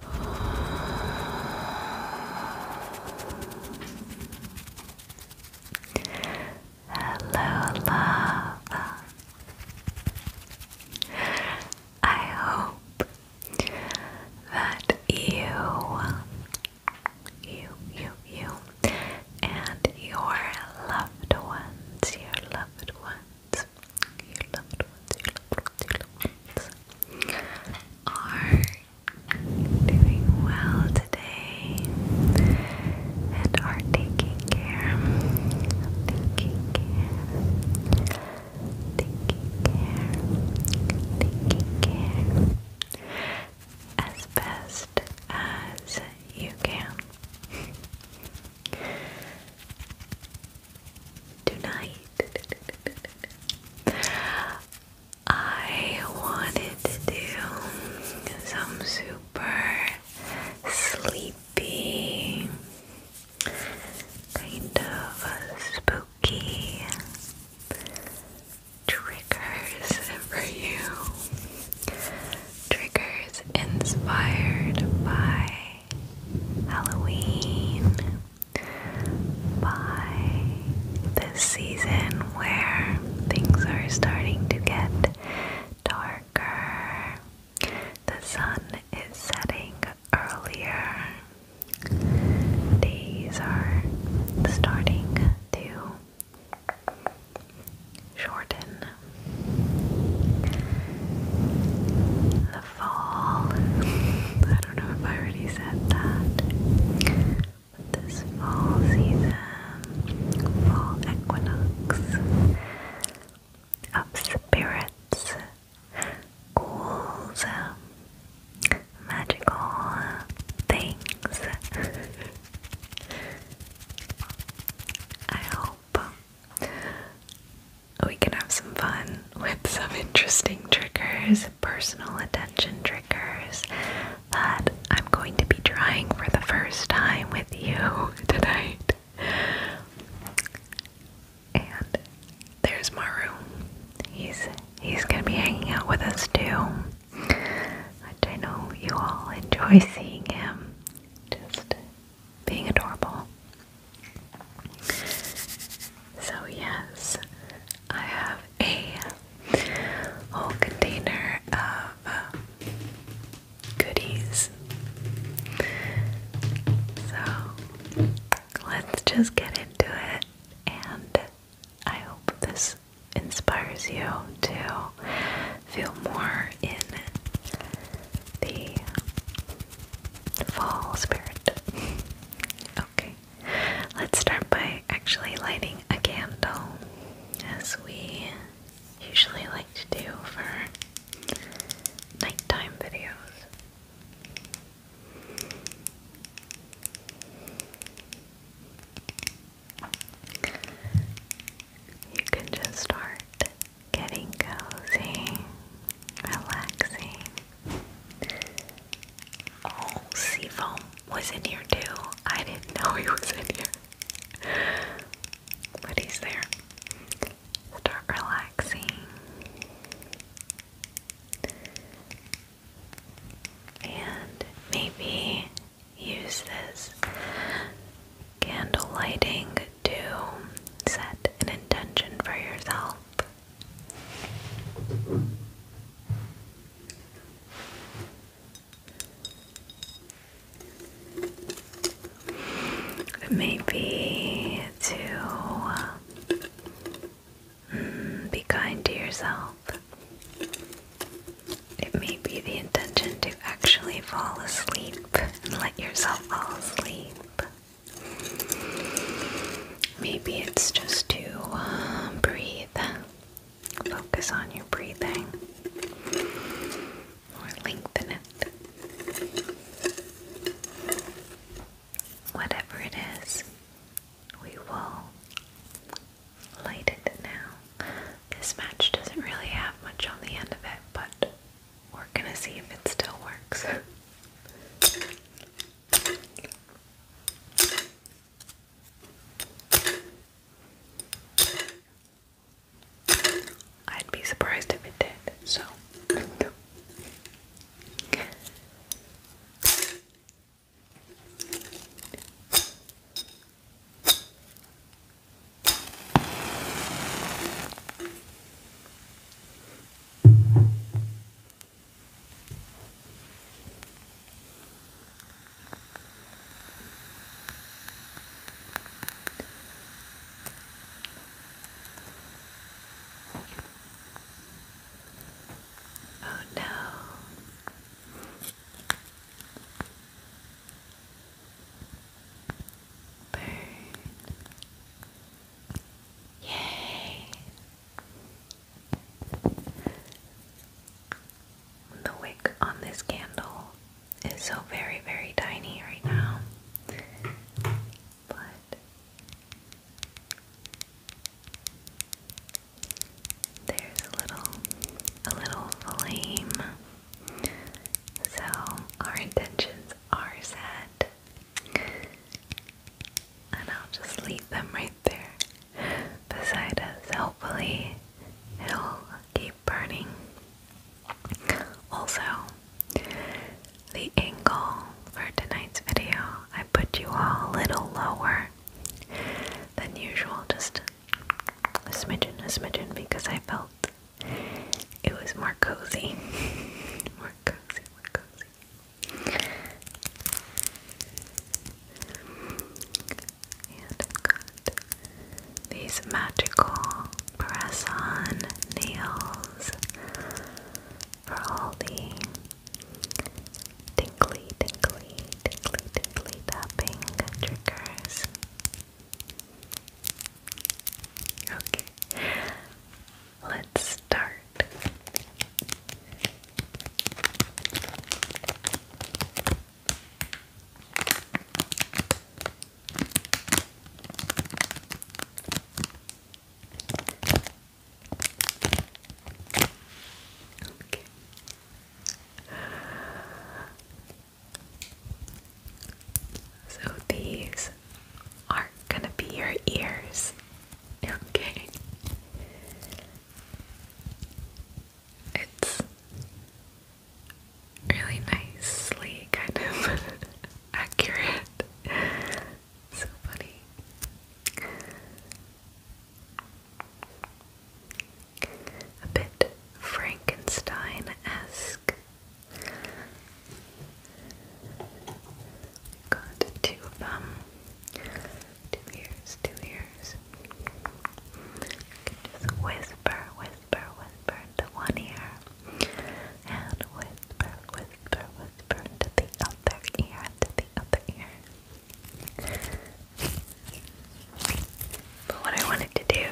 Hello, love. I hope that you, you, you, you, and your loved ones, your loved ones, your loved ones, your loved ones, your loved ones are doing well today and are taking care, taking care, taking care, taking care as best as you can tonight I wanted to do some super sleepy, kind of spooky triggers for you. Triggers inspired by Halloween by this season where things are starting to get darker, the sun is setting earlier, days are starting to shorten the fall. I don't know if I already said that. But this fall season, fall equinox, of spirits, ghouls, um, magical things. I hope we can have some fun with some interesting triggers, personal attention triggers that I'm going to be trying for the first time with you tonight. And there's Maru. He's he's gonna be hanging out with us too. I know you all enjoy seeing him. Just being adorable. So, yes, I have a whole container of uh, goodies. So, let's just get into it, and I hope this inspires you to feel more in the fall spirit. Okay, let's start by actually lighting a candle, as we usually like to do for nighttime videos. You can just start getting cozy relaxing. Oh, Seafoam was in here too. I didn't know he was in here. But he's there. Start relaxing. And maybe use this candle lighting to set an intention for yourself Maybe to mm, be kind to yourself. It may be the intention to actually fall asleep and let yourself fall asleep. Maybe it's just to um, breathe. Focus on your breathing or lengthen it. Whatever it is, we will light it now. This match doesn't really have much on the end of it, but we're gonna see if it still works. I'd be surprised if it did, so. Oh no. Burn. Yay. The wick on this candle is so very, very tiny right now, but there's a little, a little flame. So our intentions are set and I'll just leave them right there beside us. Hopefully, it'll keep burning. Also, the angle for tonight's video, I put you all a little lower than usual, just a smidgen, a smidgen, because I felt it was more cozy. more cozy, more cozy. And I've got these magical press on nails for all the tinkly, tinkly, tinkly, tinkly tapping triggers. Okay. Let's start. Okay. So these are going to be your ears okay. It's really nicely kind of accurate. So funny. A bit Frankenstein esque. Got two of them two ears, two ears. just whisper, whisper, whisper into one ear, and whisper, whisper, whisper into the other ear, into the other ear. But what I wanted to do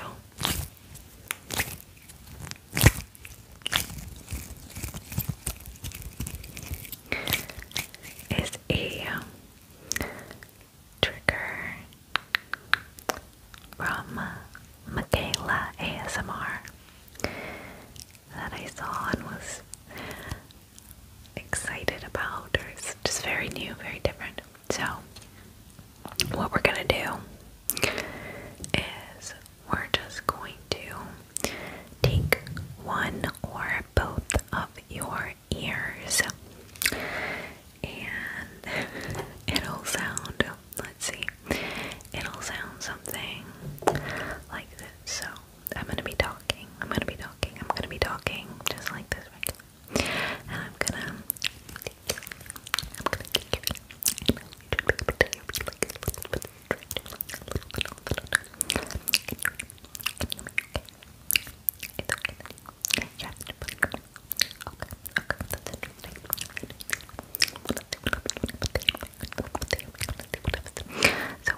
is a um, trigger from uh, Michaela ASMR that I saw and was excited about, or just very new, very different. So, what we're gonna do is we're just going to Take one or both of your ears, and it'll sound, let's see, it'll sound something like this. So, I'm gonna be talking, I'm gonna be talking, I'm gonna be talking just like this I'm gonna. So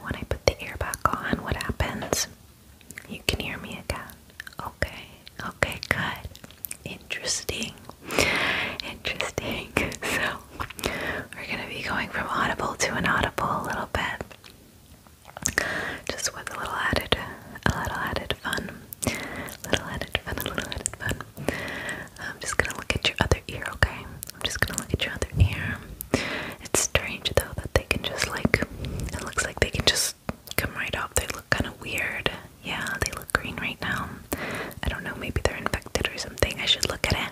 when I put the ear back on, what happens? You can hear me again. Okay, okay, good. Interesting. Interesting. So we're gonna be going from audible to inaudible a little bit. Just with a little added, a little added fun, little added fun, a little added fun. I'm just gonna look at your other ear, okay? I'm just gonna look at your other ear. It's strange though that they can just like, it looks like they can just come right up. They look kind of weird. Yeah, they look green right now. I don't know, maybe they're infected or something. I should look at it.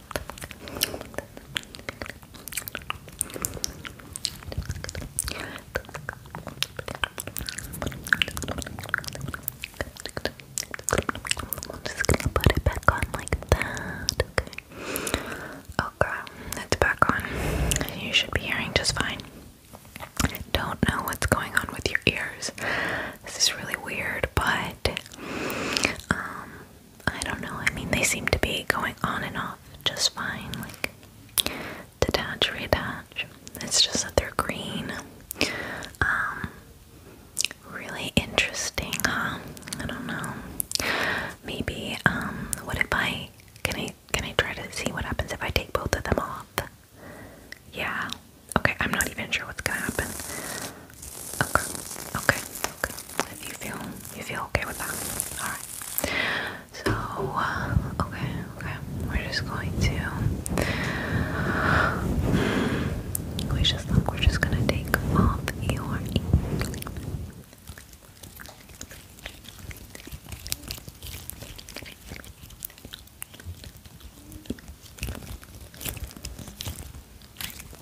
I'm just gonna put it back on like that. Okay. Okay, oh, back on. You should be hearing just fine. Don't know what's going on with your ears. This is really weird, but um, I don't know. I mean, they seem to be going on and off just fine. Like, detach, reattach. It's just that they're green. Um, really interesting, huh? I don't know. Maybe, um, what if I can I can I try to see what happens if I take both of them off? Yeah. Okay, I'm not even sure what's gonna happen. Okay, okay, okay. you feel you feel okay with that. Alright. So, uh, okay, okay, we're just going to. We just we're just gonna take off your.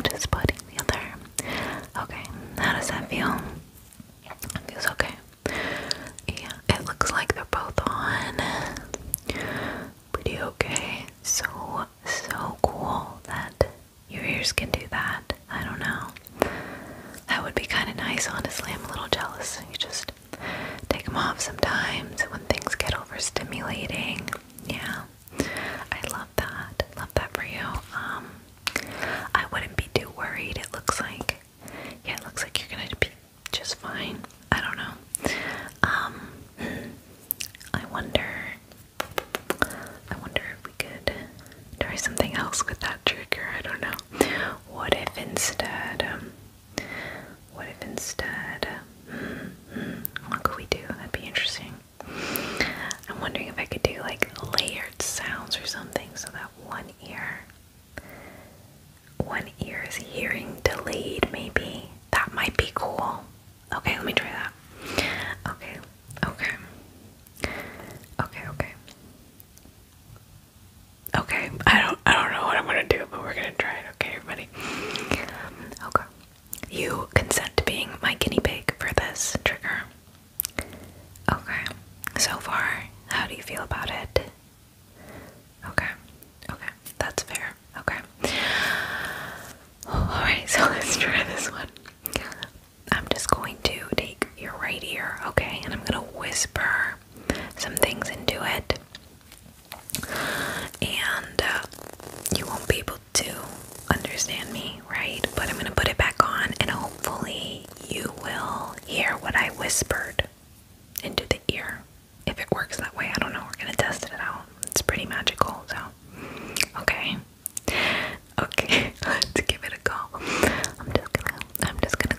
I'm just putting the other Okay, how does that feel? It feels okay. Yeah, it looks like they're both on. Pretty okay. So, so cool that your ears can do that. I don't know. That would be kind of nice, honestly. I'm a little jealous. You just take them off sometimes when things get overstimulating. Yeah, I love that. Love that for you. Um, I wouldn't be too worried. It looks like, yeah, it looks like you're gonna be just fine. I don't know. Um, I wonder. I wonder if we could try something else with that trigger. I don't know. What if instead? Um, what if instead. Mm, mm, what could we do? That'd be interesting. I'm wondering if I could do like layered sounds or something so that one ear. One ear is hearing delayed, maybe. That might be cool. Okay, let me try that. Okay, okay. Okay, okay. Okay, I don't I don't know what I'm gonna do, but we're gonna try it, okay everybody? Okay. You consent to being my guinea pig for this trigger. Okay. So far, how do you feel about it? Okay. Okay, that's fair. Okay. Alright, so let's try this one. I'm just going to take your right ear, okay, and I'm gonna whisper some things into it, and uh, you won't be able to understand me, right? But I'm gonna put it back on, and hopefully, you will hear what I whispered into the ear. If it works that way, I don't know. We're gonna test it out. It's pretty magical, so okay. Okay, let's give it a go. I'm just gonna, I'm just gonna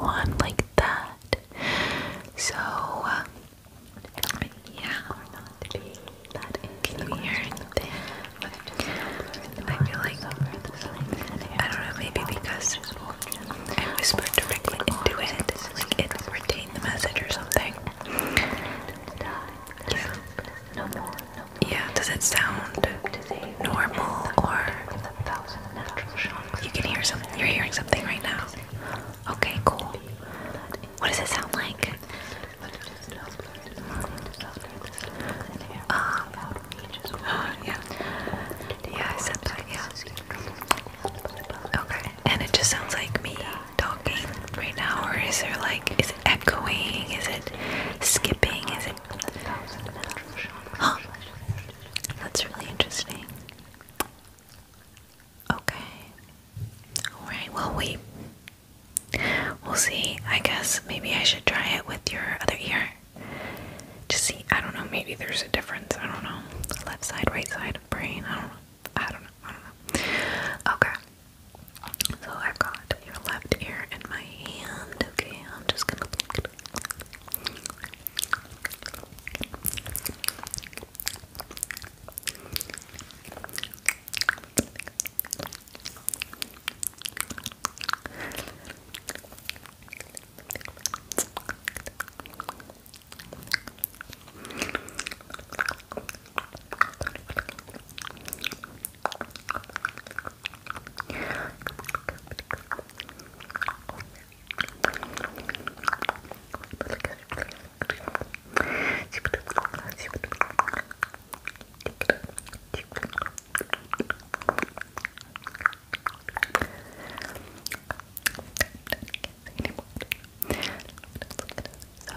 on like that. So, uh, yeah, we're not to I feel like, I don't know, maybe because I whispered directly into it, like it retained the message or something. Yeah no more, no more. Yeah, does it sound normal or you can hear something? You're hearing something right now. Okay, cool. What does it sound like? Um, yeah. Yeah, I said that, yeah. Okay, and it just sounds like me talking right now, or is there like, is is it echoing? Is it skipping? Is it. Huh. That's really interesting. Okay. Alright, well, we. We'll see. I guess maybe I should try it with your other ear. Just see. I don't know. Maybe there's a difference. I don't know. Left side, right side of brain. I don't know. I don't know. I don't know. Okay. So I've got your left ear in my hand. Okay, I'm just gonna blink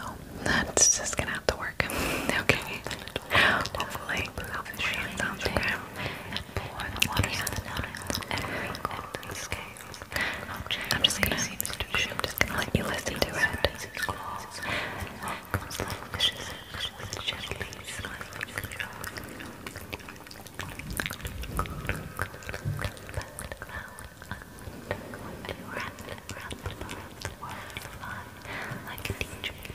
so that's just gonna have to work work. Okay. Hopefully, hopefully it's something. Pour the water and wrinkle the scales. I'm just gonna, I'm just gonna let you listen to it. Like a teacher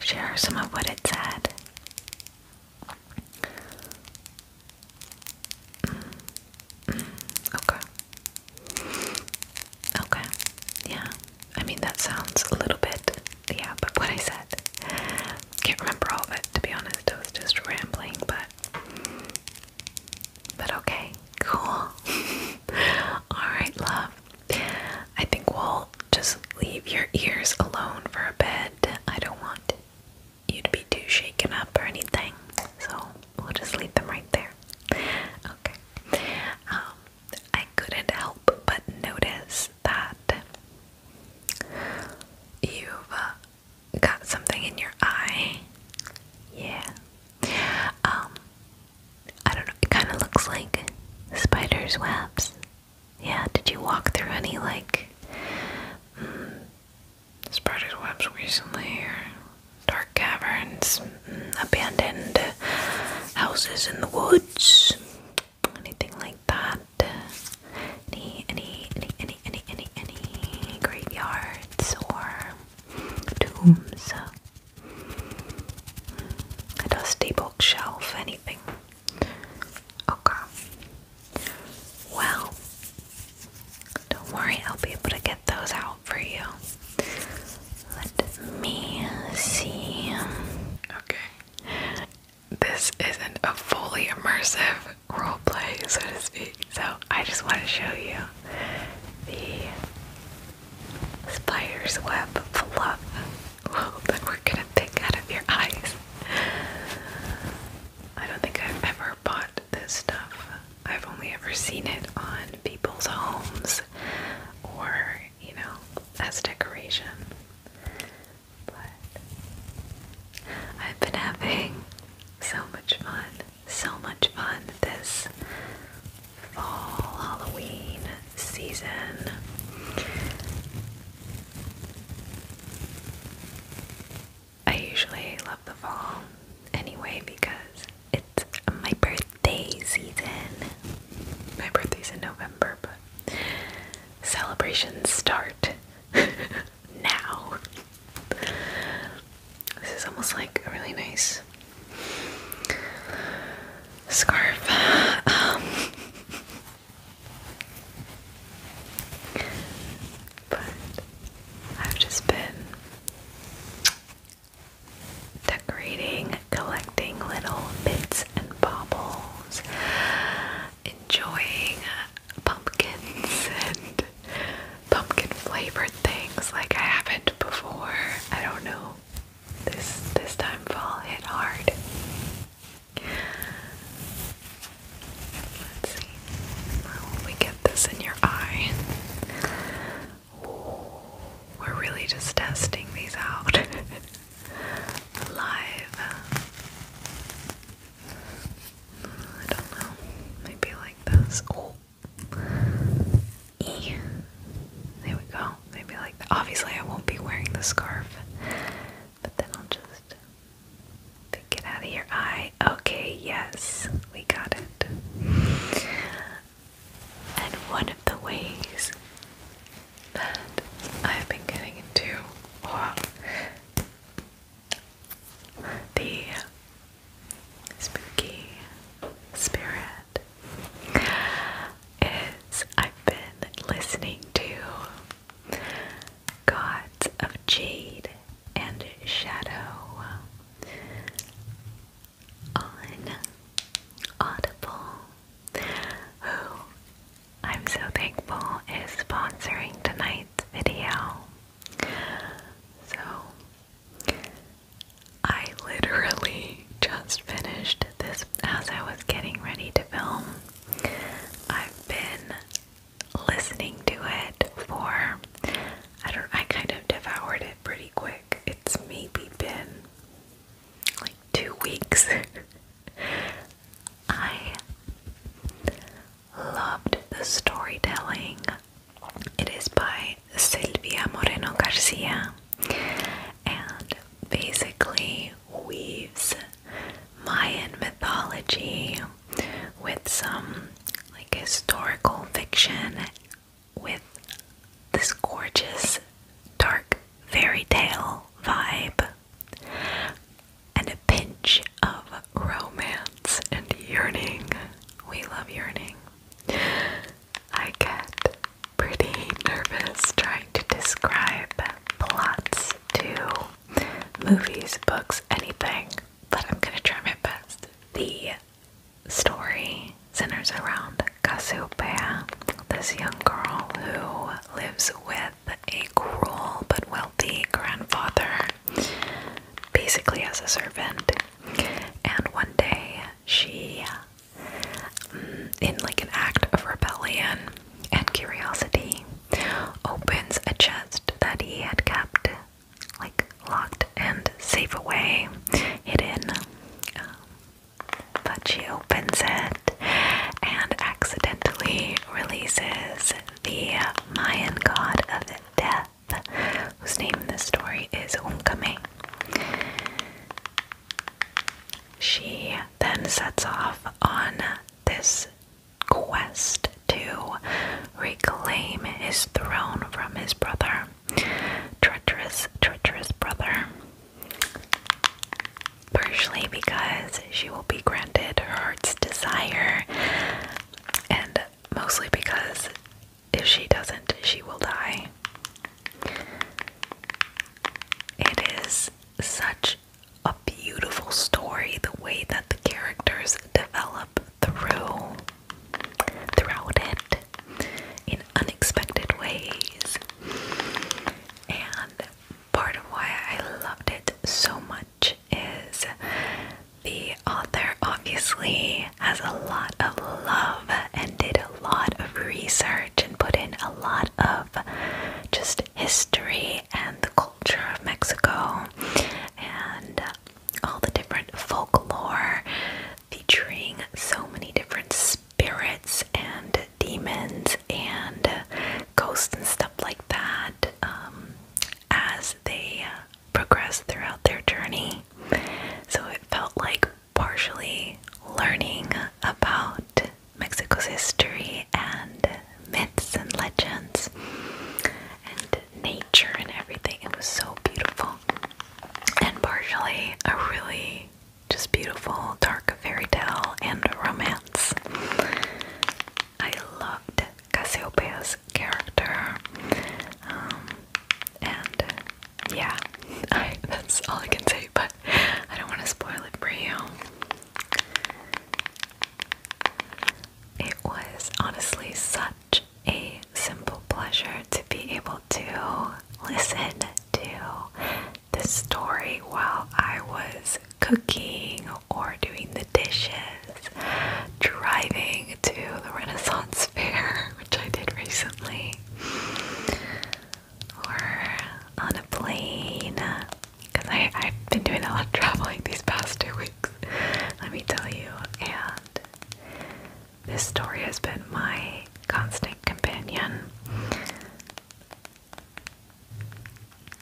share some of what it said. Mm. Okay. Okay. Yeah. I mean, that sounds a little bit, yeah, but what I said. Can't remember all of it, to be honest. I was just rambling, but. But okay. Cool. Alright, love. I think we'll just leave your ears alone for a bit. I don't want you to be too shaken up or anything, so we'll just leave them right there. Okay. Um, I couldn't help but notice that you've uh, got something in your eye. Yeah. Um, I don't know, it kind of looks like spider's webs. Yeah, did you walk through any like mm, spider's webs recently or dark caverns, mm, abandoned houses in the woods? Anything like that? Any, any, any, any, any, any, any graveyards or tombs? a dusty bookshelf, anything. Okay. Well, don't worry, I'll be able to get those out for you. Let me see. Okay. This isn't a fully immersive roleplay, so to speak, so I just want to show you the spider's web fluff wool that we're gonna pick out of your eyes. I don't think I've ever bought this stuff. I've only ever seen it on people's homes or, you know, as decoration. But I've been having so much fun, so much fun this fall Halloween season. I usually love the fall anyway because it's my birthday season. My birthday's in November, but celebrations start now. This is almost like a really nice scarf. but I've just been decorating, collecting little bits and baubles, enjoying pumpkins and pumpkin flavored things like I haven't before. I don't know. This this time fall hit hard. Let's see. Where will we get this in your eye? we're really just testing these out live. I don't know. Maybe like this. Oh. There we go maybe like that. Obviously, I won't be wearing the scarf, but then I'll just get out of your eye. Okay, yes, we got it. And one of the ways that I've been getting into the spooky spirit is I've been listening to Gods of Jade and Shadow on Audible, who I'm so thankful is sponsoring tonight's video. So, I literally just finished this as I was getting ready to film. I've been listening to it for I don't I kind of devoured it pretty quick. It's maybe been like 2 weeks. I loved the storytelling. It is by Silvia Moreno Garcia and basically weaves Mayan mythology with some like historical fiction with this gorgeous dark fairy tale vibe and a pinch of romance and yearning. We love yearning. I get pretty nervous trying to describe plots to movies, books, anything, but I'm gonna try my best. The story centers around Cassiopeia, this young girl who lives with a cruel but wealthy grandfather, basically as a servant. And one day she in like an act of rebellion and curiosity, opens a chest that he had kept like locked and safe away, hidden. Um, but she opens it and accidentally releases the Mayan god of death, whose name in this story is Umkame. She then sets off on this quest to reclaim his throne from his brother. Treacherous, treacherous brother. Partially because she will be granted her heart's desire, and mostly because if she doesn't, she will die. It is such a beautiful story the way that the characters develop through throughout it in unexpected ways and part of why I loved it so much is the author obviously has a lot of love and did a lot of research and put in a lot of just history and the culture of Mexico and uh, all the different folklore featuring so many different spirits and demons and ghosts and stuff like that um, as they uh, progress throughout their journey. So it felt like partially learning about Mexico's history and myths and legends and nature and everything. It was so beautiful. And partially a really just beautiful dark fairy tale and romance. I loved Cassiopeia's character. Um, and yeah, that's all I can say but I don't want to spoil it for you. It was honestly such a simple pleasure to be able to listen to the story while I was cooking or doing the dishes, driving to the Renaissance Fair, which I did recently or on a plane. Because I've been doing a lot of traveling these past two weeks, let me tell you. And this story has been my constant companion.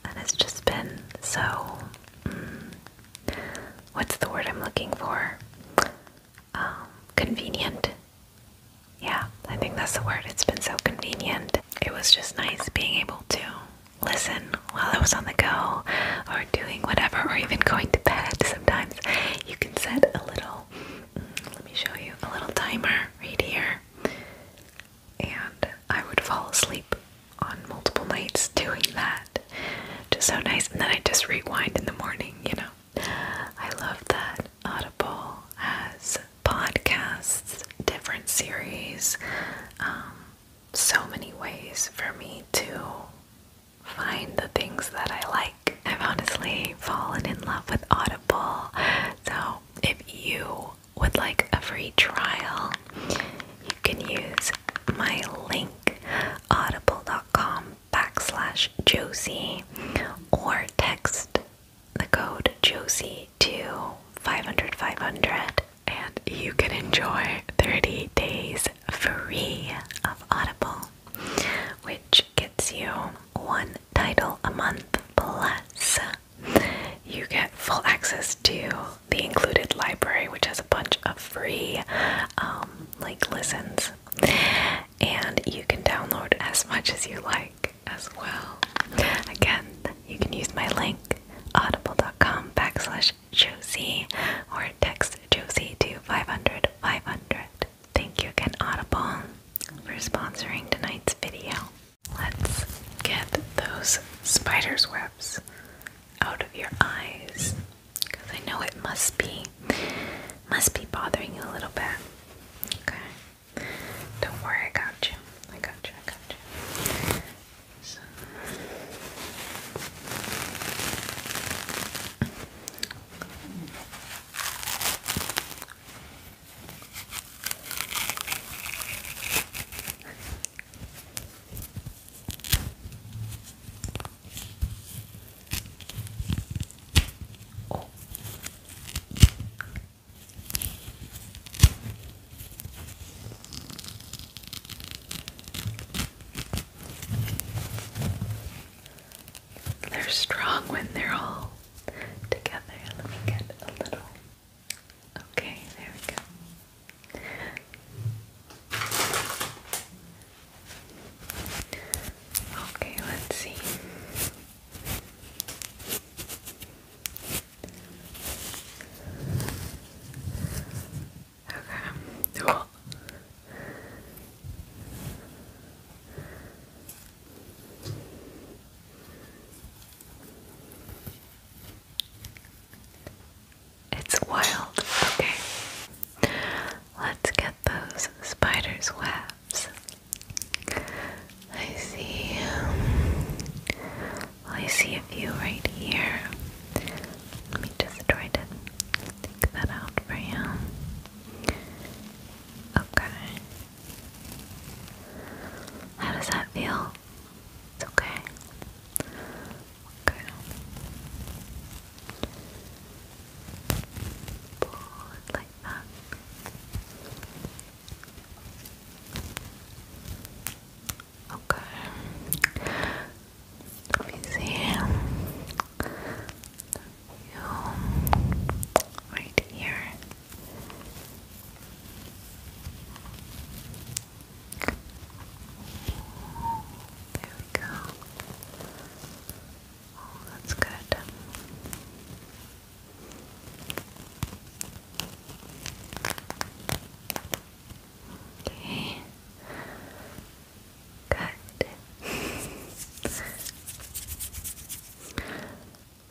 And it's just been so. Mm, what's the word I'm looking for? Um, convenient. Yeah, I think that's the word. It's been so convenient. It was just nice being able to listen while I was on the go or doing whatever or even going to bed. Sometimes you can set a little, mm, let me show you, a little timer right here. And I would fall asleep on multiple nights doing that. Just so nice. And then I just rewind in the morning, you know. I love that Audible has podcasts, different series, um, so many ways for me to find the things that I like. I've honestly fallen in love with Audible, so if you would like a free trial, you can use my link audible.com backslash Josie or text the code Josie two five 500 500 and you can enjoy 30 days free of Audible, which gets you one title a month plus. You get full access to the included library, which has a bunch of free um, like listens, and you can download as much as you like as well. Again, you can use my link audible.com backslash Josie or text Josie to 500 500. Thank you again, Audible, for sponsoring tonight's video. Let's get those spider's webs out of your eyes because I know it must be must be bothering you a little bit. Okay. Don't worry, I got you. I got you, I got you. They're strong when they're all together. Let me get a little. Okay, there we go. Okay, let's see. Okay. Well, it's wild. Okay. Let's get those spider's webs. I see. Um, I see a few right here. Let me just try to take that out for you. Okay. How does that feel? It's okay. Okay. Pull it like that. Okay. Let right here. There we go. Oh, that's good. Okay. Good.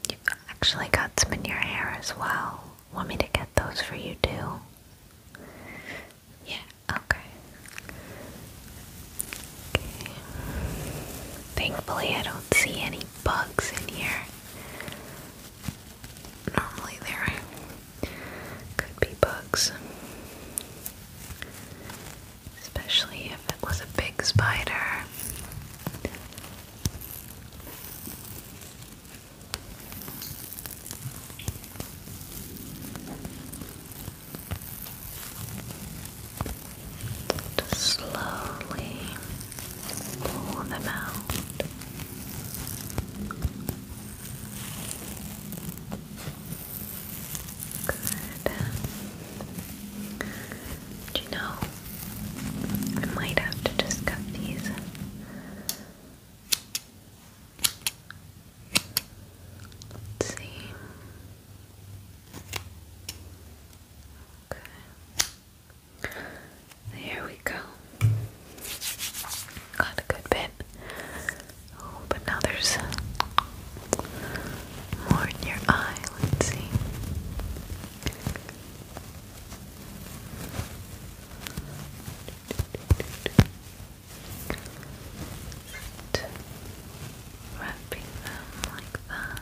you actually got some in your hair as well. Want me to get those for you too? Yeah, okay. Okay. Thankfully, I don't see any bugs in here normally there could be bugs. Especially if it was a big spider. Just slowly Pull them out. Good. Do you know, I might have to just cut these. Let's see. Okay. There we go. Got a good bit. Oh, but now there's more in your eye. Let's see. wrapping them like that.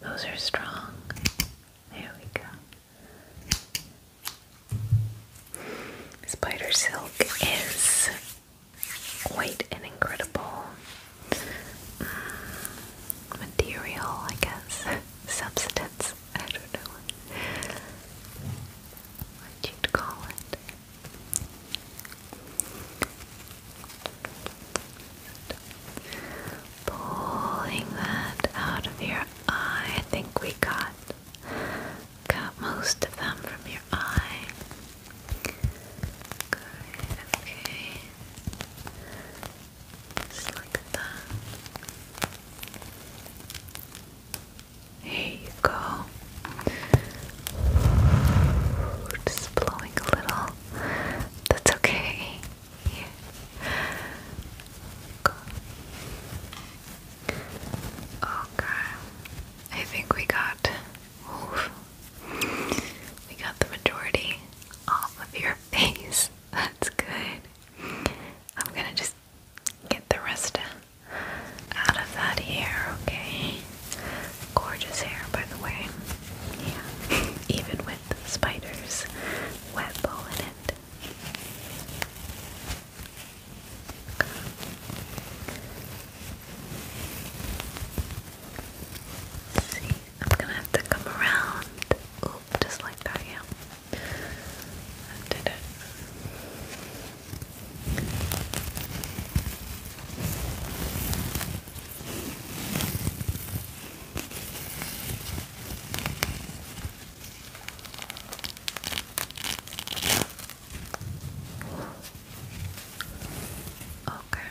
Those are strong. There we go. Spider silk is quite an incredible mm, material, I guess. Substance. I don't know what you'd call it. Pulling that out of your eye. I think we got got most of them from your eye. okay. Just like that. Here you go. Just blowing a little. That's okay. Okay. I think we got. We got the majority off of your face. That's good. I'm gonna just get the rest out of that hair, okay? Gorgeous hair, by the way. Yeah, even with spiders, wet in it. See, I'm gonna have to come around. Oop, just like that, yeah. did it. Okay.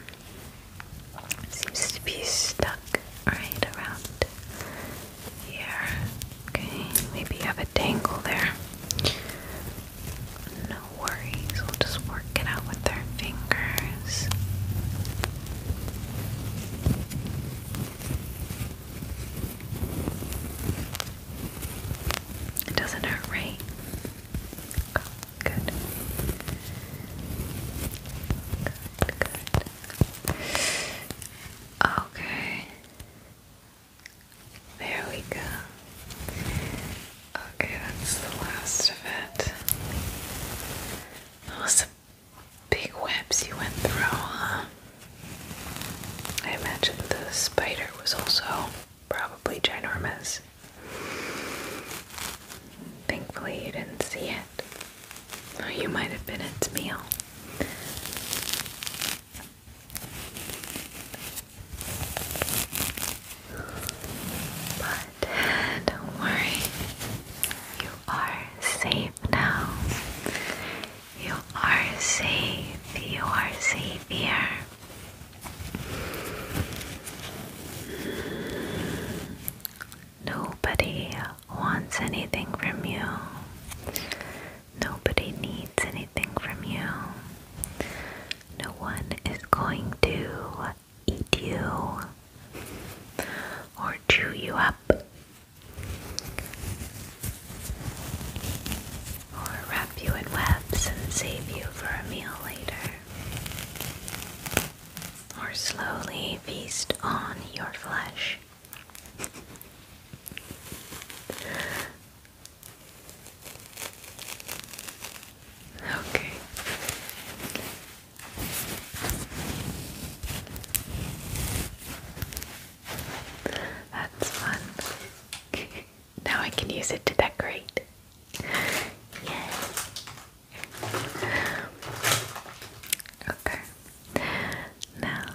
Seems to be stuck right around here. Okay, maybe you have a dangle there. No worries, we'll just work it out with our fingers. It doesn't hurt, right? good. Good, good. Okay. There we go. Okay, that's the last of it. Those big webs you went through, huh? I imagine the spider was also probably ginormous. Thankfully, you didn't see it, you might have been its meal. But don't worry, you are safe now. You are safe, you are safe here. Nobody wants anything from you. Nobody needs anything from you. No one is going to eat you or chew you up or wrap you in webs and save you for a meal later or slowly feast on your flesh. Okay. That's fun. now I can use it to decorate. Yay. Okay. Now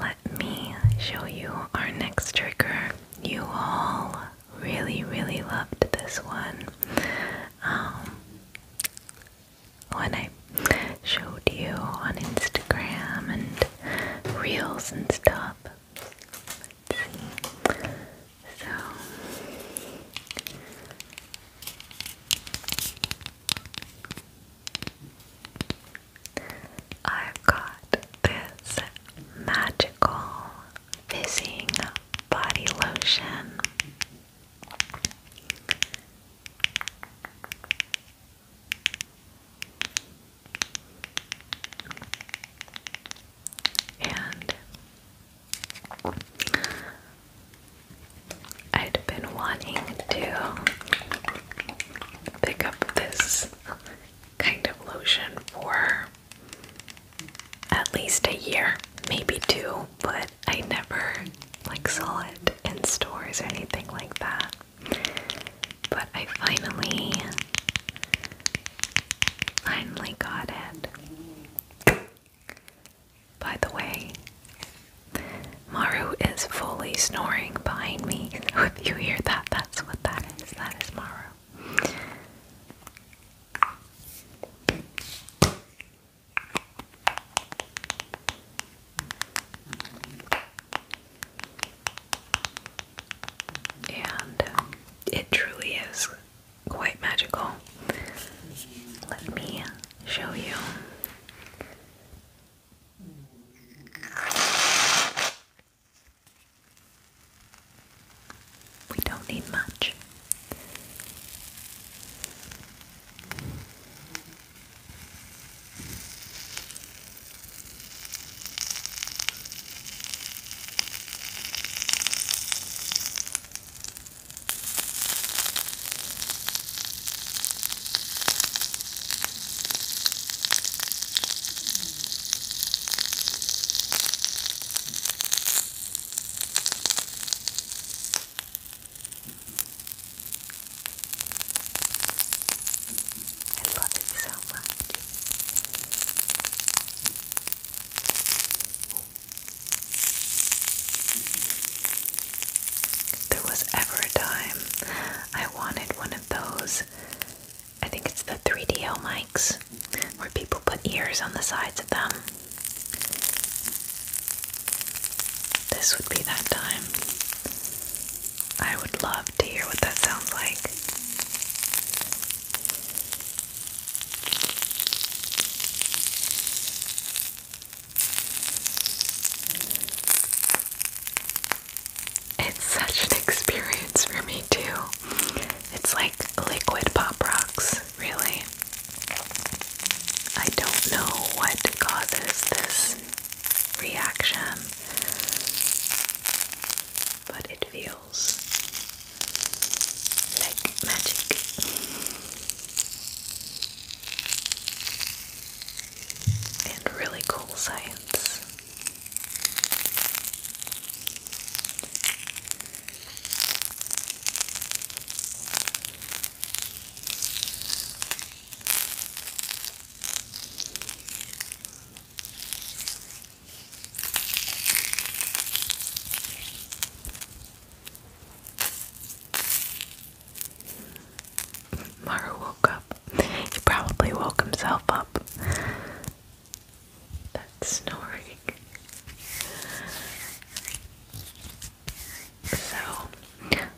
let me show you our next trigger. You all really, really loved this one. Um, when I showed you on Instagram and reels and stuff. So. I've got this magical fizzing body lotion. And I'd been wanting to pick up this kind of lotion for at least a year, maybe two, but I never like saw it in stores or anything like that. But I finally finally got it. By the way, Maru is fully snoring behind me. if you hear that, that's what that is. It's not Mara. And it truly is quite magical. Let me show you. We don't need much. I love it so much. there was ever a time I wanted one of those I think it's the 3DL mics where people put ears on the sides of them. This would be that time. I would love to hear what that sounds like. It's such an experience for me too. It's like liquid pop rocks, really. I don't know what causes this reaction, but it feels like magic. And really cool science. Maru woke up. He probably woke himself up. That's snoring. So,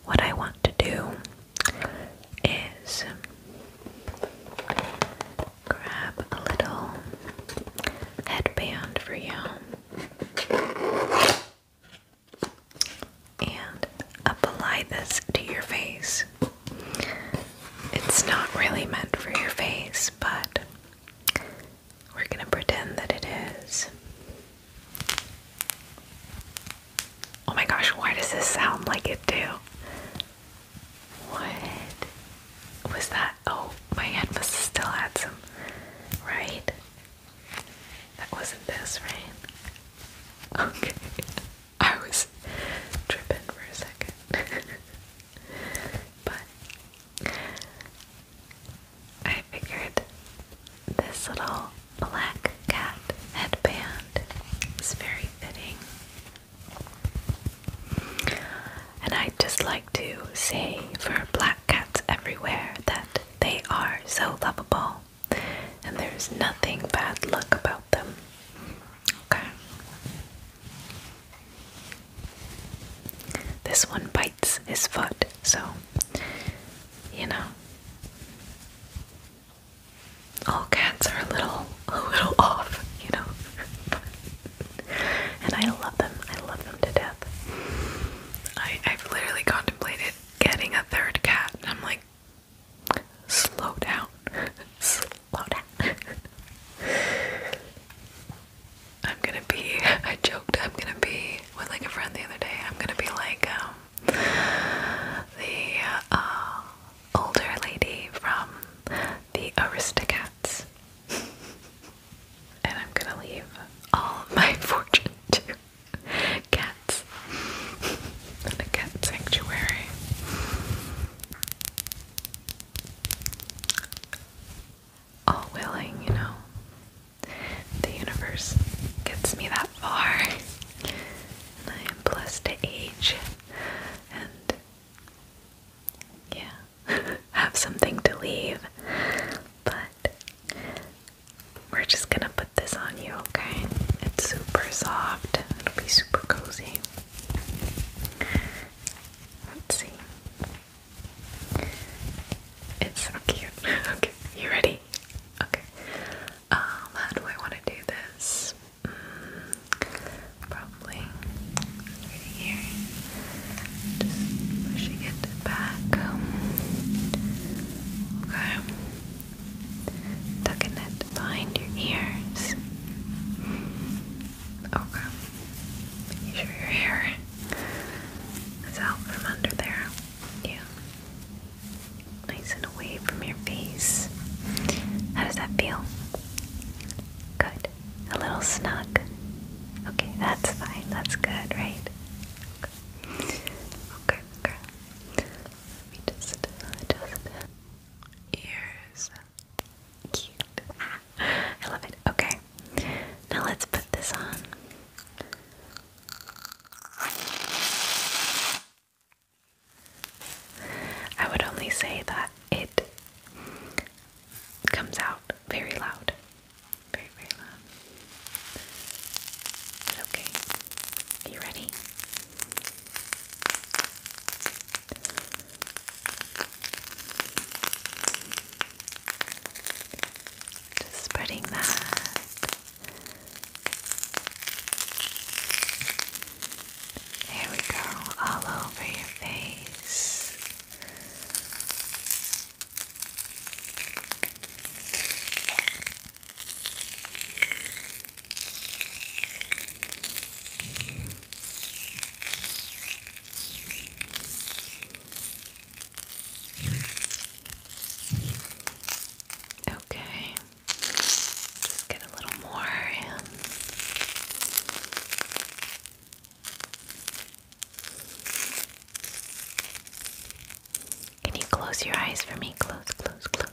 what I want to do is grab a little headband for you and apply this to your face. It's not really meant for your face, but we're going to pretend that it is. Oh my gosh, why does this sound like it too? What was that? Oh, my head must have still had some, right? That wasn't this, right? Okay. I was tripping for a second. but I figured this little black cat headband is very fitting. And I'd just like to say for black cats everywhere that they are so lovable and there's nothing bad luck about them. Okay. This one bites his foot, so, you know. All cats are a little, a little off, you know. and I love them. I love them to death. I, I've literally contemplated getting a third cat, I'm like, slow down, I'm gonna be, I joked, I'm gonna be with like a friend the other day, I'm gonna be like, um, the uh, older lady from the Aristocats. and I'm gonna leave all of my fortune to cats and a cat sanctuary all willing, you know. The universe gets me that far, and I am blessed to age and, yeah, have something to leave. But we're just gonna put this on you, okay? It's super soft, it'll be super cozy. Let's see. It's so cute. okay, you ready? Okay. Um, how do I want to do this? Mm, probably right here. Just pushing it back. Okay. Tucking it behind your ears. Okay. You sure your hair is out from under there? Yeah. Nice and away from your face. How does that feel? Good. A little snug. Okay, that's fine. That's good, right? Okay, okay. Let me just adjust ears. I love it. Okay. Now let's put this on. I would only say that it comes out very loud. Very, very loud. okay. you ready? Just spreading that. There we go, all over your face. Okay, get a little more Can you close your eyes for me? Close, close, close.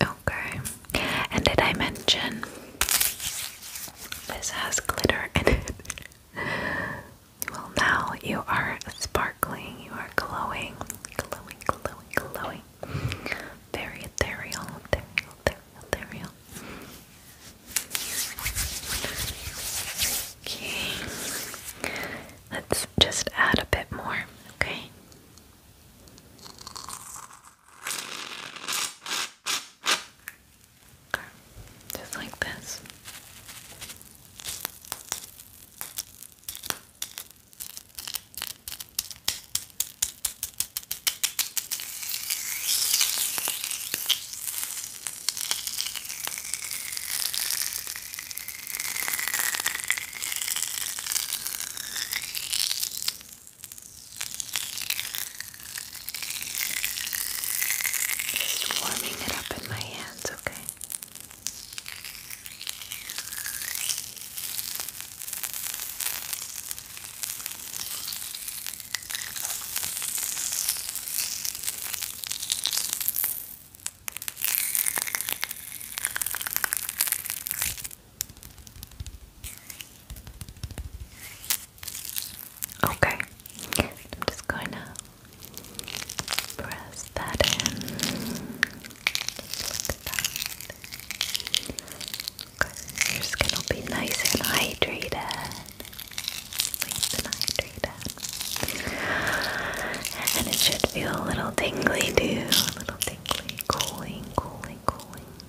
Okay. And did I mention this has glitter in it? well, now you are sparkling, you are glowing, glowing, glowing, glowing. Very ethereal, ethereal, ethereal, ethereal. Okay. Let's just add a bit more, okay? Okay. Just like this. Just warming it up in my hands, okay? Okay. Okay, I'm just going to press that in. your skin will be nice and hydrated. Nice and hydrated. And it should feel a little tingly too. A little tingly, cooling, cooling, cooling.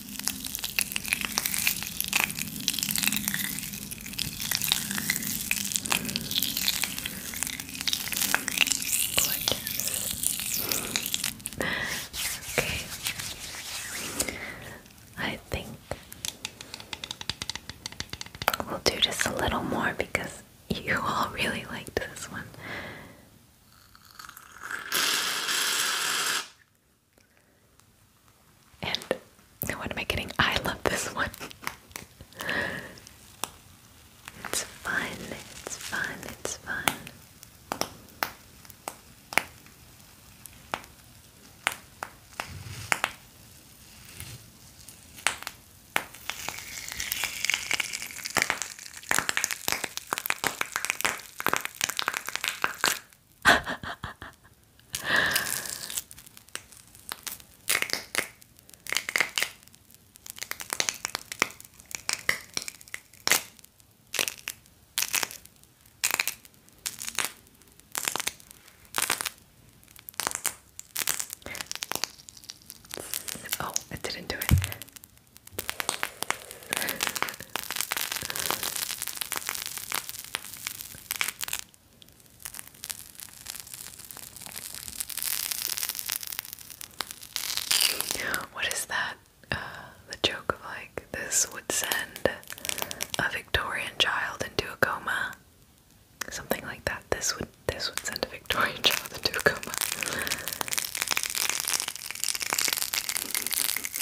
Okay. I think we'll do just a little more because you all really liked this one. And what am I getting? I love this one. it's fun, it's fun, it's fun oh, it didn't do it. What is that? Uh, the joke of like this would send a Victorian child into a coma, something like that. This would this would send a Victorian child into a coma.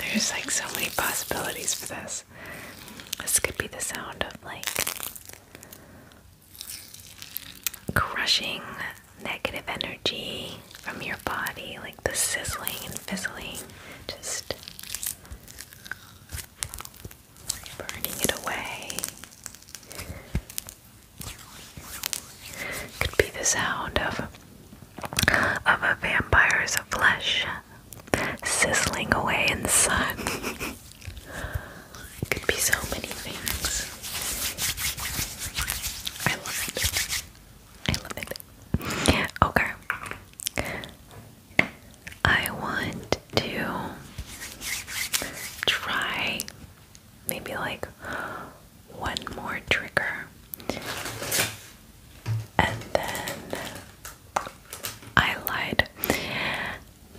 There's like so many possibilities for this. This could be the sound of like crushing negative energy from your body, like the sizzling and fizzling, just burning it away. Could be the sound of of a vampire's flesh sizzling away in the sun. Could be so many things. I love it. I love it. Okay. I want to try maybe like one more trigger and then I lied.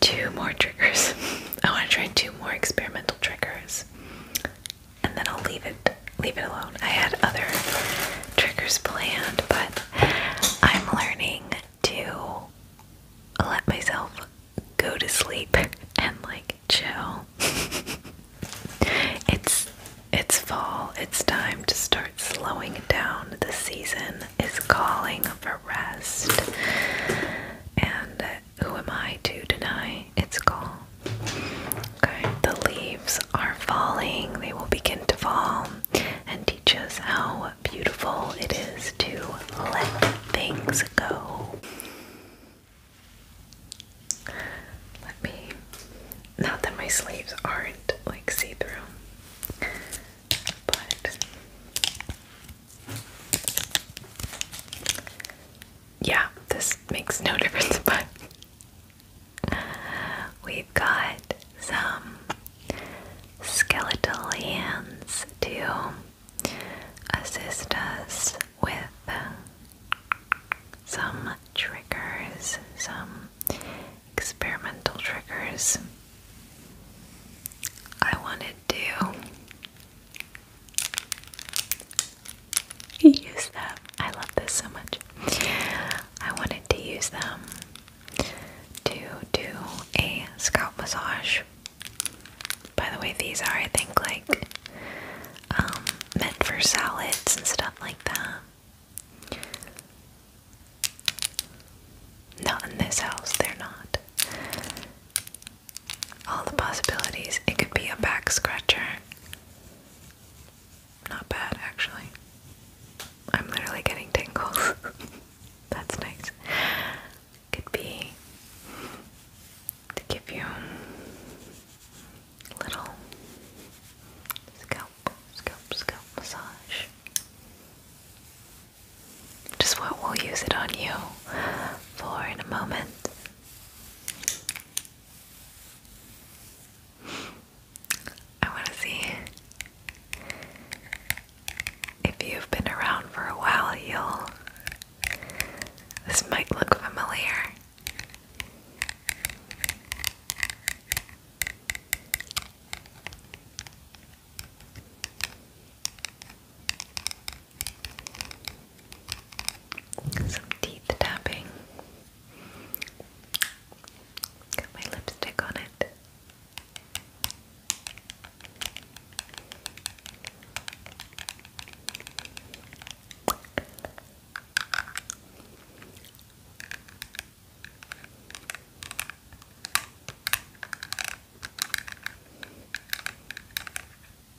Two more triggers. I want to try two more experimental triggers. And then I'll leave it leave it alone. I had other triggers planned, but I'm learning to let myself go to sleep and like chill. it's it's fall. It's time to start slowing down. The season is calling for rest. And who am I to deny its call? Okay, the leaves are falling. They will begin to fall and teach us how beautiful it is to let things go. Let me, not that my sleeves aren't like see through, but yeah, this makes no difference, but We've got some skeletal hands to assist us with some triggers, some experimental triggers. I wanted to use them. I love this so much. I wanted to use them to do a scalp massage. By the way, these are, I think, like um, meant for salads and stuff like that. Not in this house, they're not. All the possibilities. It could be a back scratcher. Not bad, actually. I'm literally getting tingles. That's nice. Could be to give you little scalp, scalp, scalp massage. Just what we'll use it on you for in a moment. I want to see if you've been around for a while. You'll. This might look familiar. Some teeth tapping. Got my lipstick on it.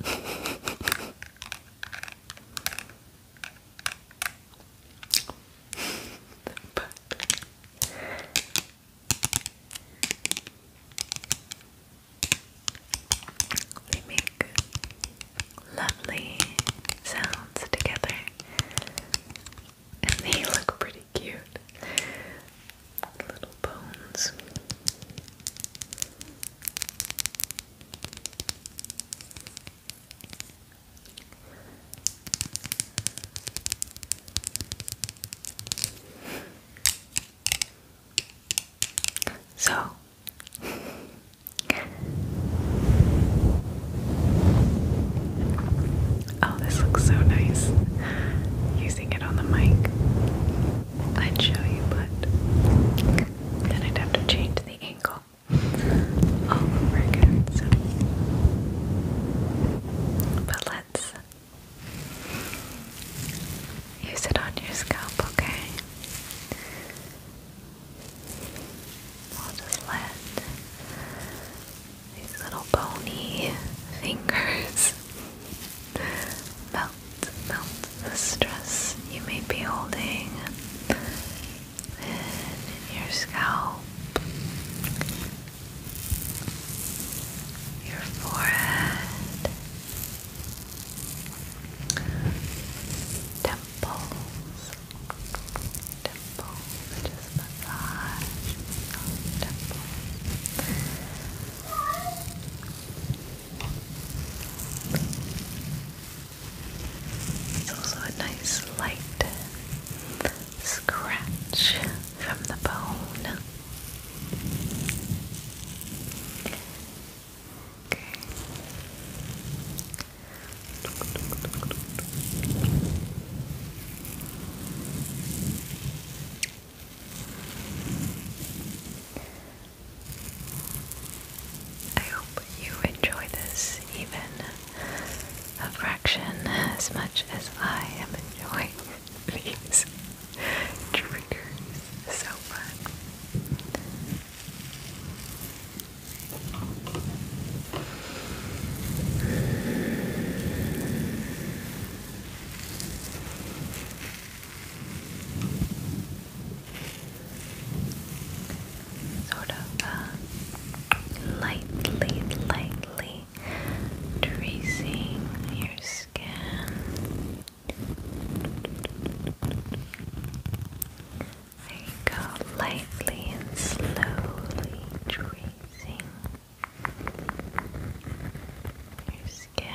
they make lovely sounds together and they look pretty cute. Little bones. So Oh, this looks so nice using it on the mic. I'd show you, but then I'd have to change the angle all over again. But let's use it on your scalp, okay? I'll just let these little bony fingers melt, melt the stress you may be holding in your scalp, your forehead, temples, temples, just massage temples. It's also a nice light scratch from the bone. Okay. I hope you enjoy this even a fraction as much as I am enjoying these triggers so much. Sort of uh, lightly, lightly gently tracing your skin. There go, lightly and slowly tracing your skin.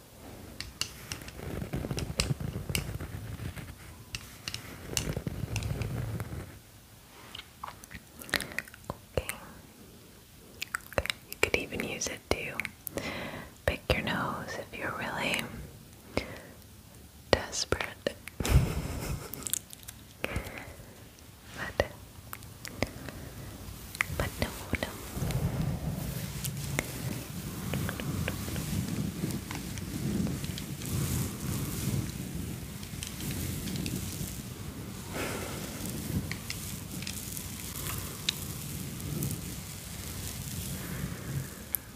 Okay. okay. You could even use it to pick your nose if you're really desperate. but but no, no.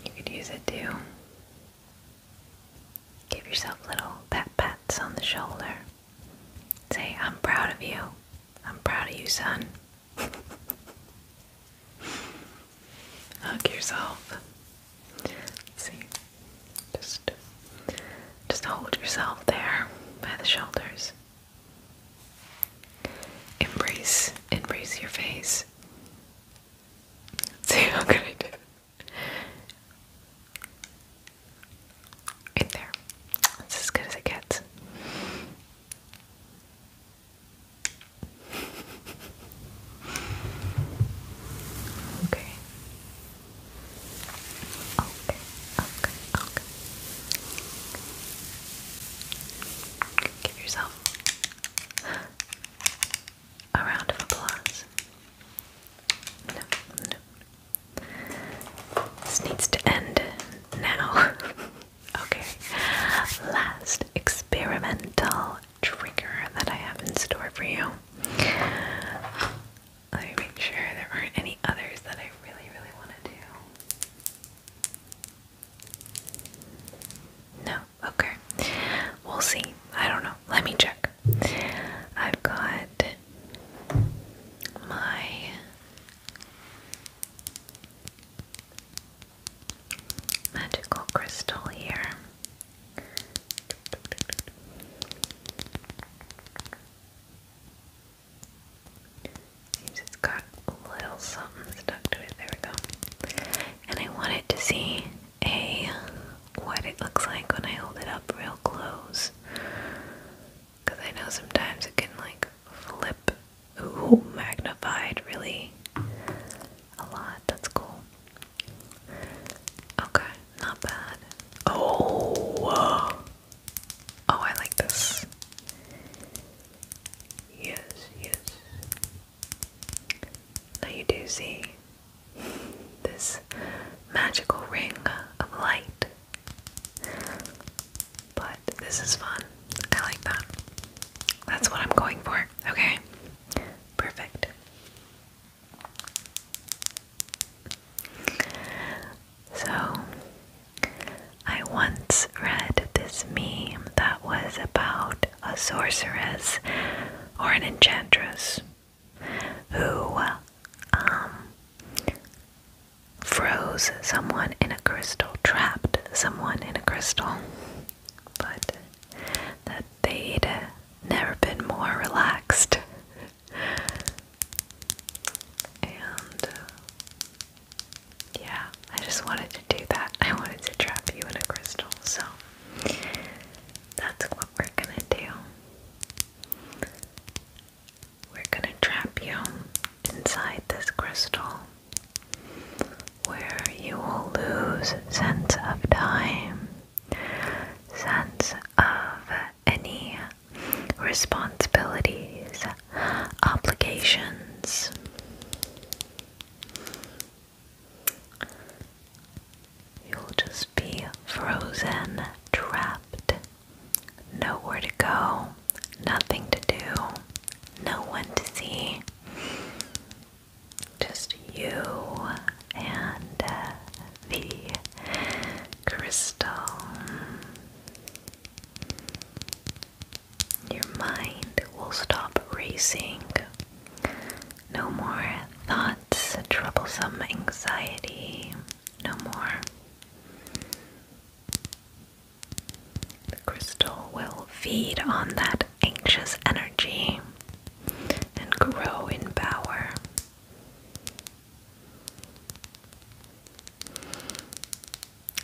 You could use it to give yourself little pat pats on the shoulder. Say, I'm proud of you. I'm proud of you, son. Hug yourself. See, just just hold yourself there by the shoulders. Embrace, embrace your face. See how good I did. Right there. It's as good as it gets. Okay. Okay, okay, Give yourself a round of applause. No, no. This needs to end now. Okay, last experimental trigger that I have in store for you. Let me make sure there aren't any others that I really, really want to do. No, okay. We'll see. I don't know. Let me check. I've got my magical crystal here. Seems got a little something stuck to it. There we go. And I wanted to see a what it looks like when I hold it up real close. Because I know sometimes it can like flip ooh, magnified really a lot. That's cool. Okay, not bad. Oh, oh, I like this. Yes, yes. Now you do see this magical ring of light. But this is fun. I like that. That's what I'm going for. Okay. Perfect. So, I once read this meme that was about a sorceress or an enchantress who um, froze someone in a crystal, trapped someone in a crystal, but that they'd uh, never been more relaxed. and uh, yeah, I just wanted to do that. I wanted to trap you in a crystal, so that's what we're gonna do. We're gonna trap you inside this crystal where you will lose sense of time, sense of any responsibilities, obligations. You'll just be frozen, trapped, nowhere to go, nothing to do, no one to see. Just you and uh, the crystal. Your mind will stop racing. No more thoughts, troublesome anxiety. No more. The crystal will feed on that anxious energy and grow in power.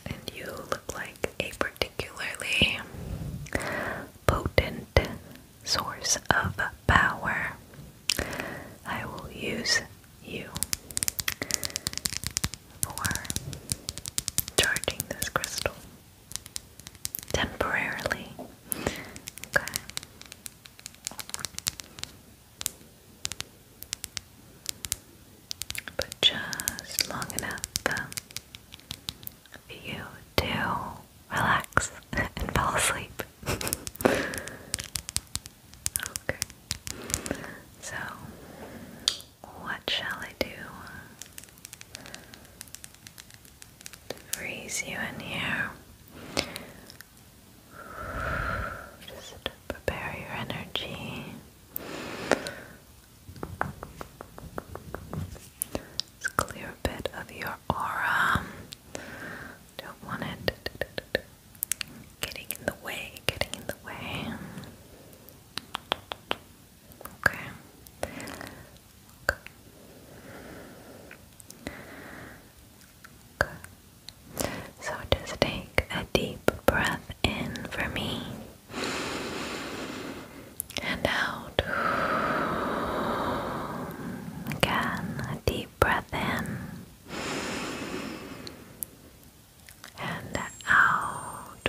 And you look like a particularly potent source of power. I will use you for charging this crystal temporarily. Okay. But just long enough for you to relax and fall asleep. okay. So, what shall I do to freeze you in here. Just prepare your energy. clear a bit of your aura. Don't want it getting in the way, getting in the way. Okay. okay. Okay. So just take a deep breath in for me and out. Again, a deep breath in and out.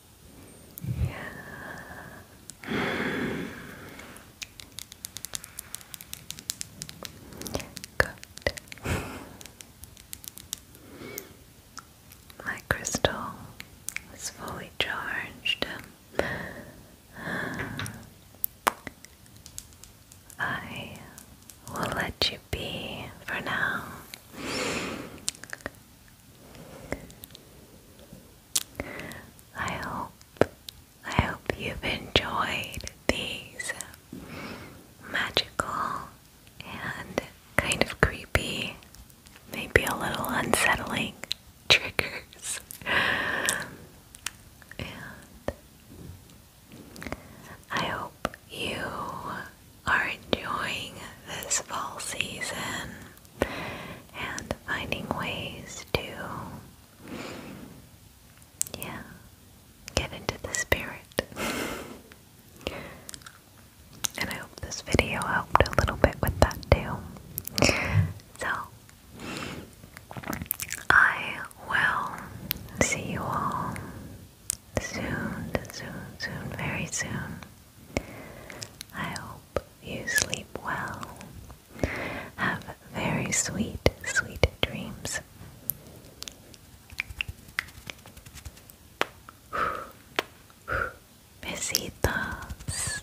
Yeah. Good. My crystal is fully charged. I will let you be for now. I hope I hope you've enjoyed these magical and kind of creepy, maybe a little unsettling triggers. And I hope you are enjoying this fall season and finding ways to, yeah, get into the spirit. And I hope this video helped a little bit with that too. So, I will see you all soon, soon, soon, very soon. I hope you sleep well. Have very sweet, sweet dreams. Besitos.